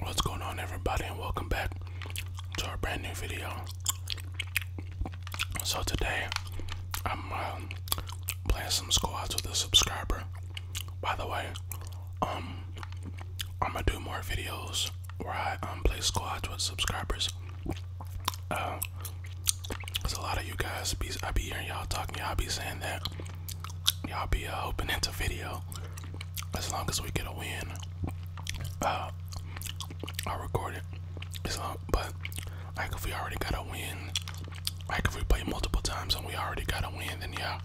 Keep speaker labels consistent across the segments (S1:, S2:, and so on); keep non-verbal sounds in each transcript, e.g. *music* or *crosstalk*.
S1: What's going on everybody and welcome back to our brand new video. So today I'm um, playing some squads with a subscriber. By the way, um I'm gonna do more videos where I um, play squads with subscribers. Uh, Cause a lot of you guys be I be hearing y'all talking, y'all be saying that y'all be uh, hoping it's a video. As long as we get a win, uh, I'll record it. but like if we already got a win, like if we play multiple times and we already got a win, then yeah,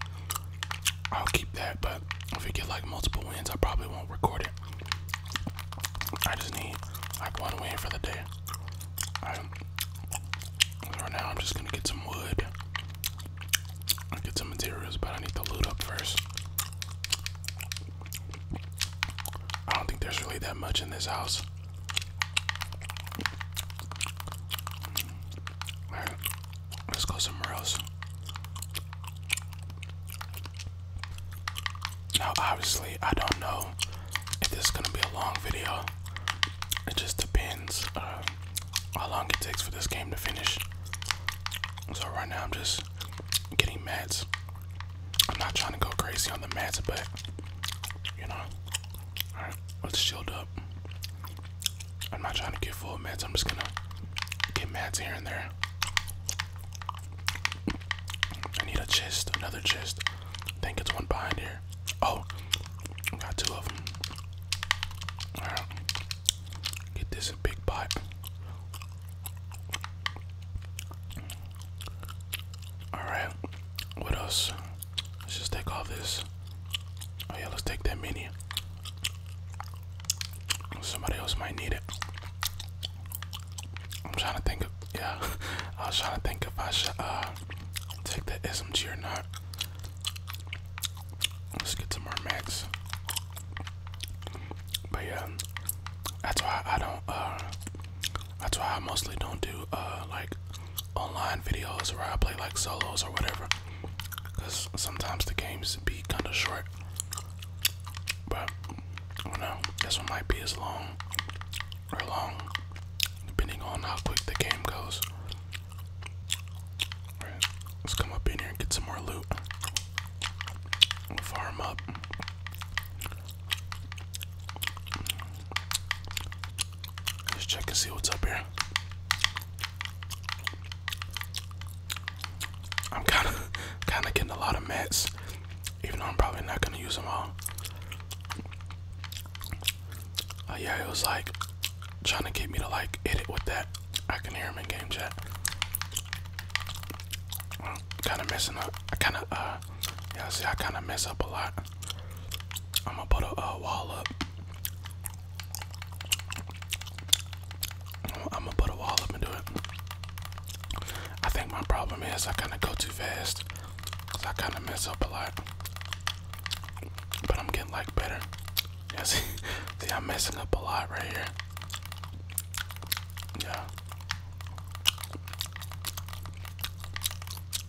S1: I'll keep that. But if we get like multiple wins, I probably won't record it. I just need like one win for the day. Um, right now, I'm just gonna get some wood i get some materials, but I need to loot up first. I don't think there's really that much in this house. let's go somewhere else. Now, obviously, I don't know if this is gonna be a long video. It just depends. Uh, how long it takes for this game to finish. So right now I'm just getting mats. I'm not trying to go crazy on the mats, but you know, all right, let's shield up. I'm not trying to get full mats. I'm just gonna get mats here and there. I need a chest, another chest. I think it's one behind here. Oh, got two of them. Get this a big pot. All right. What else? Let's just take all this. Oh yeah, let's take that mini. Somebody else might need it. I'm trying to think yeah. *laughs* I was trying to think if I should uh take the SMG or not. Let's get some more max. But yeah, that's why I don't. Uh, that's why I mostly don't do uh, like online videos where I play like solos or whatever, because sometimes the games be kind of short. But I don't know. This one might be as long or long, depending on how quick the game goes let's come up in here and get some more loot. We'll farm up. Let's check and see what's up here. I'm kind of *laughs* kind of getting a lot of mats, even though I'm probably not going to use them all. Oh, yeah, it was like trying to get me to like edit with that. I can hear him in game chat. I'm kind of messing up. I kind of, uh, yeah, see, I kind of mess up a lot. I'm gonna put a wall up. I'm gonna put a wall up and do it. I think my problem is I kind of go too fast because I kind of mess up a lot. But I'm getting like better. Yeah, *laughs* see, I'm messing up a lot right here. Yeah.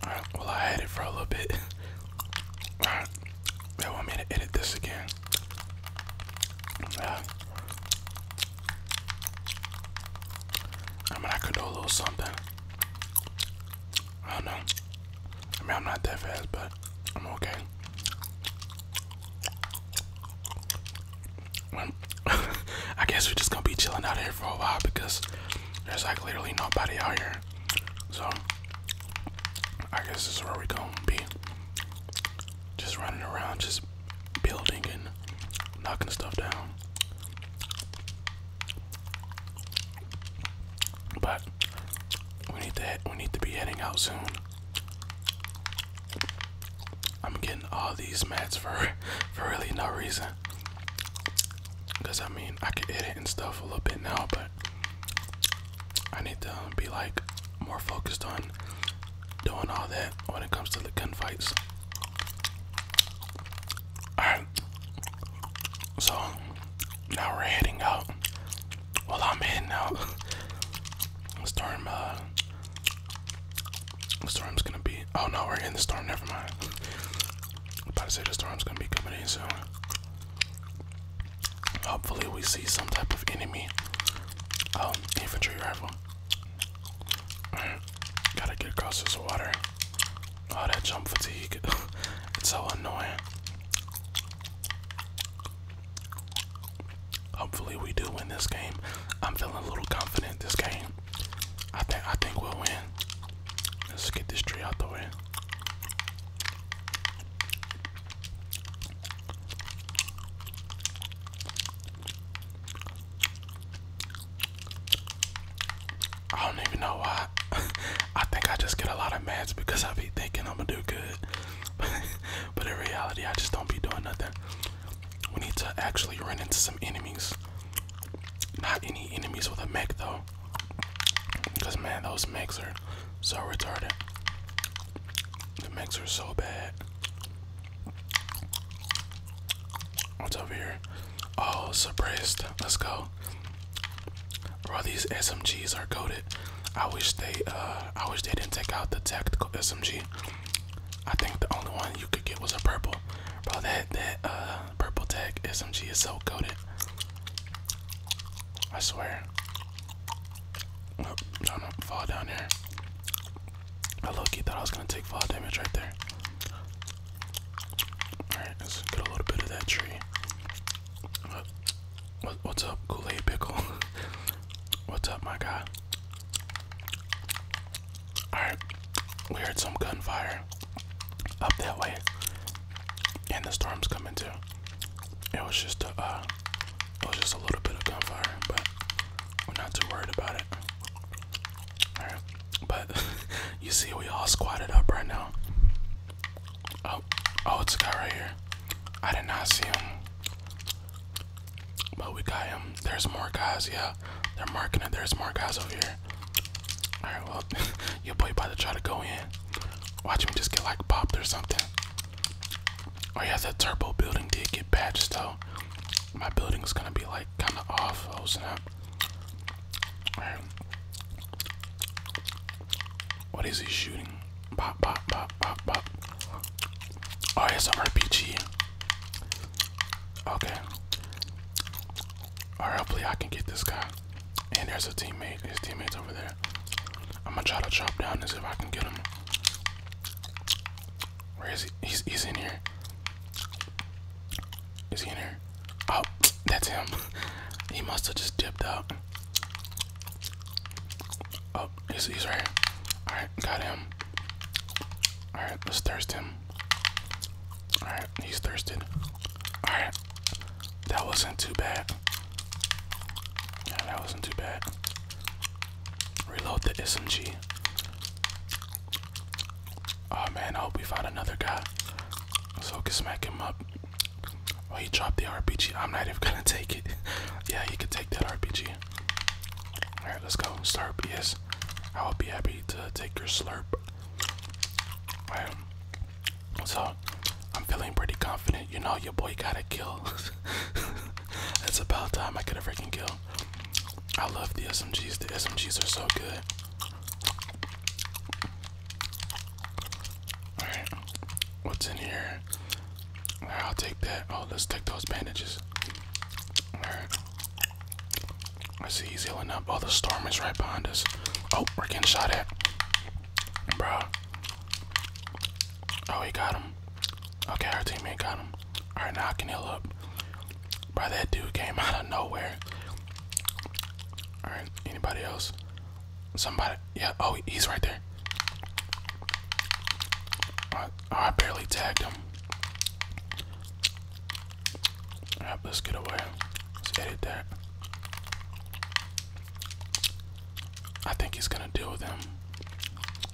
S1: Alright, well I had for a little bit. *laughs* Alright. They want me to edit this again. Yeah. I mean I could do a little something. I don't know. I mean, I'm not that fast, but I'm okay. *laughs* I guess we're just gonna be chilling out here for a while because there's like literally nobody out here. So, I guess this is where we're gonna be. Just running around, just building and knocking stuff down. But we need to we need to be heading out soon. I'm getting all these mats for *laughs* for really no reason. Cause I mean I can edit and stuff a little bit now, but I need to um, be like more focused on doing all that when it comes to the gunfights. Alright. So now we're heading out. Well, I'm heading out. Storm, uh, the storm's gonna be. Oh no, we're in the storm. Never mind. I'm about to say the storm's gonna be coming in soon. Hopefully, we see some type of enemy. Um, infantry rifle. Gotta get across this water. Oh, that jump fatigue. *laughs* it's so annoying. Hopefully we do win this game. I'm feeling a little confident this game. I think I think we'll win. Let's get this tree out the way. I don't even know why. *laughs* I think I just get a lot of mats because I be thinking I'm gonna do good. *laughs* but in reality, I just don't be doing nothing. We need to actually run into some enemies. Not any enemies with a mech though. Because man, those mechs are so retarded. The mechs are so bad. What's over here? Oh, suppressed. Let's go. Bro, these SMGs are goaded. I wish they uh I wish they didn't take out the tactical SMG. I think the only one you could get was a purple. Bro, that that uh purple tech SMG is so goaded. I swear. Oh, I'm fall down here. I lucky thought I was gonna take fall damage right there. Alright, let's get a little bit of that tree. What's up, Kool Aid Pickle? *laughs* What's up, my guy? Alright, we heard some gunfire up that way, and the storm's coming too. It was just a, uh, it was just a little bit of gunfire, but we're not too worried about it. but *laughs* you see, we all squatted up right now. Oh, oh, it's a guy right here. I did not see him. But we got him. There's more guys, yeah. They're marking it. There's more guys over here. Alright, well, *laughs* your boy about to try to go in. Watch him just get like popped or something. Oh, yeah, that turbo building did get patched, though. My building's gonna be like kind of off. Oh, snap. What is he shooting? Pop, pop, pop, pop, pop. Oh, it's an RPG. Okay. hopefully I can get this guy. And there's a teammate. His teammate's over there. I'm gonna try to chop down as if I can get him. Where is he? he's in here. Is he in here? Oh, that's him. *laughs* He must have just dipped out. Oh, he's, he's right Alright, got him. Alright, let's thirst him. Alright, he's thirsted. Alright, that wasn't too bad. Yeah, that wasn't too bad. Reload the SMG. Oh man, I hope we find another guy so I can smack him up. Oh, he dropped the RPG. I'm not even gonna *laughs* take it. yeah, he could take that RPG. Alright, let's go. Slurp, yes. I will be happy to take your slurp. Alright. So, I'm feeling pretty confident. You know, your boy got a kill. *laughs* it's about time I could have freaking kill. I love the SMGs. The SMGs are so good. Alright, what's in here? I'll take that. Oh, let's take those bandages. Alright. I see he's healing up. Oh, the storm is right behind us. Oh, we're getting shot at. Bro. Oh, he got him. Okay, our teammate got him. Alright, now I can heal up. Bro, that dude came *laughs* out of nowhere. Alright, anybody else? Somebody, yeah. Oh, he's right there. I, I barely tagged him. let's get away. Let's edit that. I think he's gonna deal with them.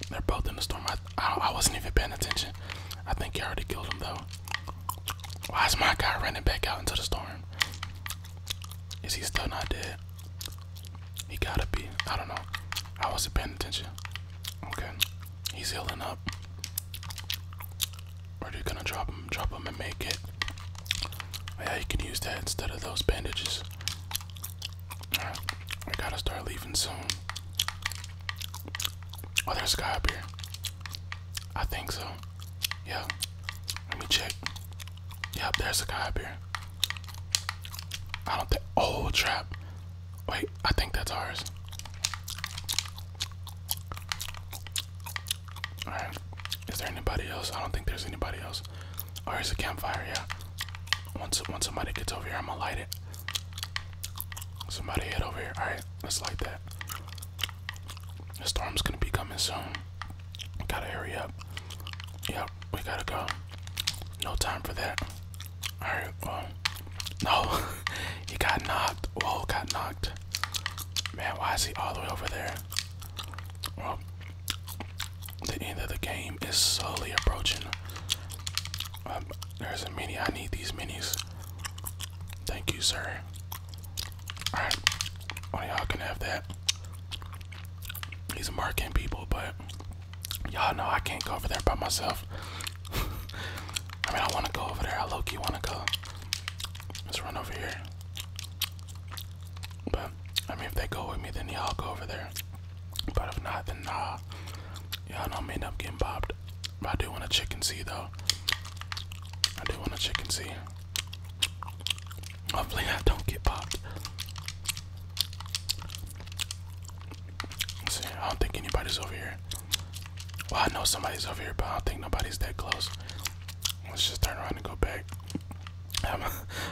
S1: They're both in the storm. I, I, wasn't even paying attention. I think you already killed him though. Why is my guy running back out into the storm? Is he still not dead? He gotta be. I don't know. I wasn't paying attention. Okay. He's healing up. We're just gonna drop him, drop him and make it. Yeah, you can use that instead of those bandages. Alright. I gotta start leaving soon. Oh, there's a guy up here. I think so. Yeah. Let me check. Yeah, there's a guy up here. I don't think. Oh, trap. Wait, I think that's ours. Alright. Is there anybody else? I don't think there's anybody else. Oh, there's a campfire, yeah. Once, once somebody gets over here, I'm gonna light it. Somebody head over here. Alright, let's light that. The storm's gonna be coming soon. We gotta hurry up. Yep, we gotta go. No time for that. Alright, well. *laughs* No, he got knocked. Whoa, got knocked. Man, why is he all the way over there? Well, the end of the game is slowly approaching. Um, there's a mini. I need these minis. Thank you, sir. Alright. Oh, y'all can have that. These are American people, but y'all know I can't go over there by myself. *laughs* I mean, I want to go over there. I low key want to go. Let's run over here. But, I mean, if they go with me, then y'all go over there. But if not, then nah. Y'all know I'm end up getting bopped. But I do want a chicken sea, though. I do want a chicken sea. Hopefully, I don't get popped. see, I don't think anybody's over here. Well, I know somebody's over here, but I don't think nobody's that close. Let's just turn around and go back. I'm, *laughs*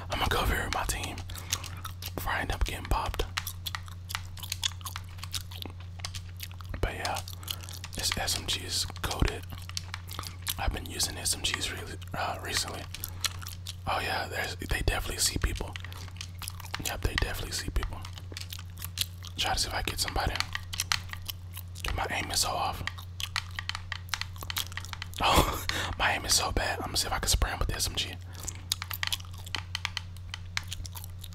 S1: gonna go over here with my team before I end up getting popped. But yeah, this SMG is goaded. I've been using SMGs cheese uh, recently. Oh yeah, they definitely see people. Yep, they definitely see people. Try to see if I get somebody. My aim is so off. *laughs* Oh, my aim is so bad. I'm gonna see if I can spray with the SMG.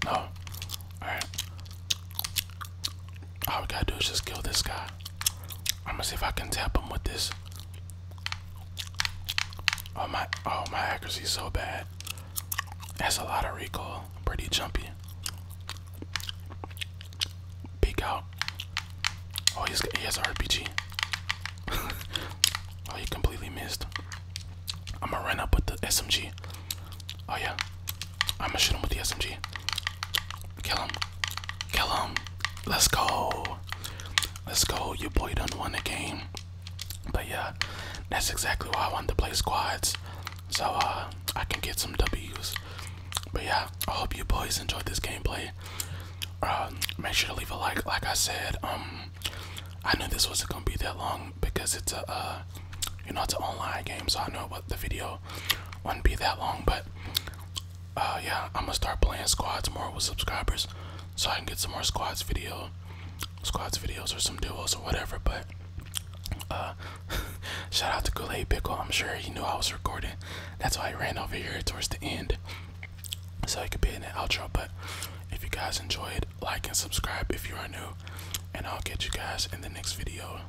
S1: No. Alright. All we gotta do is just kill this guy. I'm gonna see if I can tap him with this. Oh my, oh my accuracy's so bad. That's a lot of recoil. Pretty jumpy. Peek out. Oh, he's, he has an RPG. *laughs* oh, he completely missed. I'm gonna run up with the SMG. Oh yeah, I'm gonna shoot him with the SMG. Kill him. Kill him. Let's go. Let's go. Your boy done won the game. But yeah, that's exactly why I want to play squads. So uh, I can get some W's. But yeah, I hope you boys enjoyed this gameplay. Uh, make sure to leave a like. Like I said, um, I knew this wasn't gonna be that long because it's a, uh, you know, it's an online game. So I know what the video wouldn't be that long, but uh, yeah, I'm gonna start playing squads more with subscribers, so I can get some more squads video, squads videos or some duos or whatever. But uh, *laughs* shout out to Kool-Aid Pickle. I'm sure he knew I was recording. That's why I ran over here towards the end, so I could be in the outro. But if you guys enjoyed, like and subscribe if you are new, and I'll catch you guys in the next video.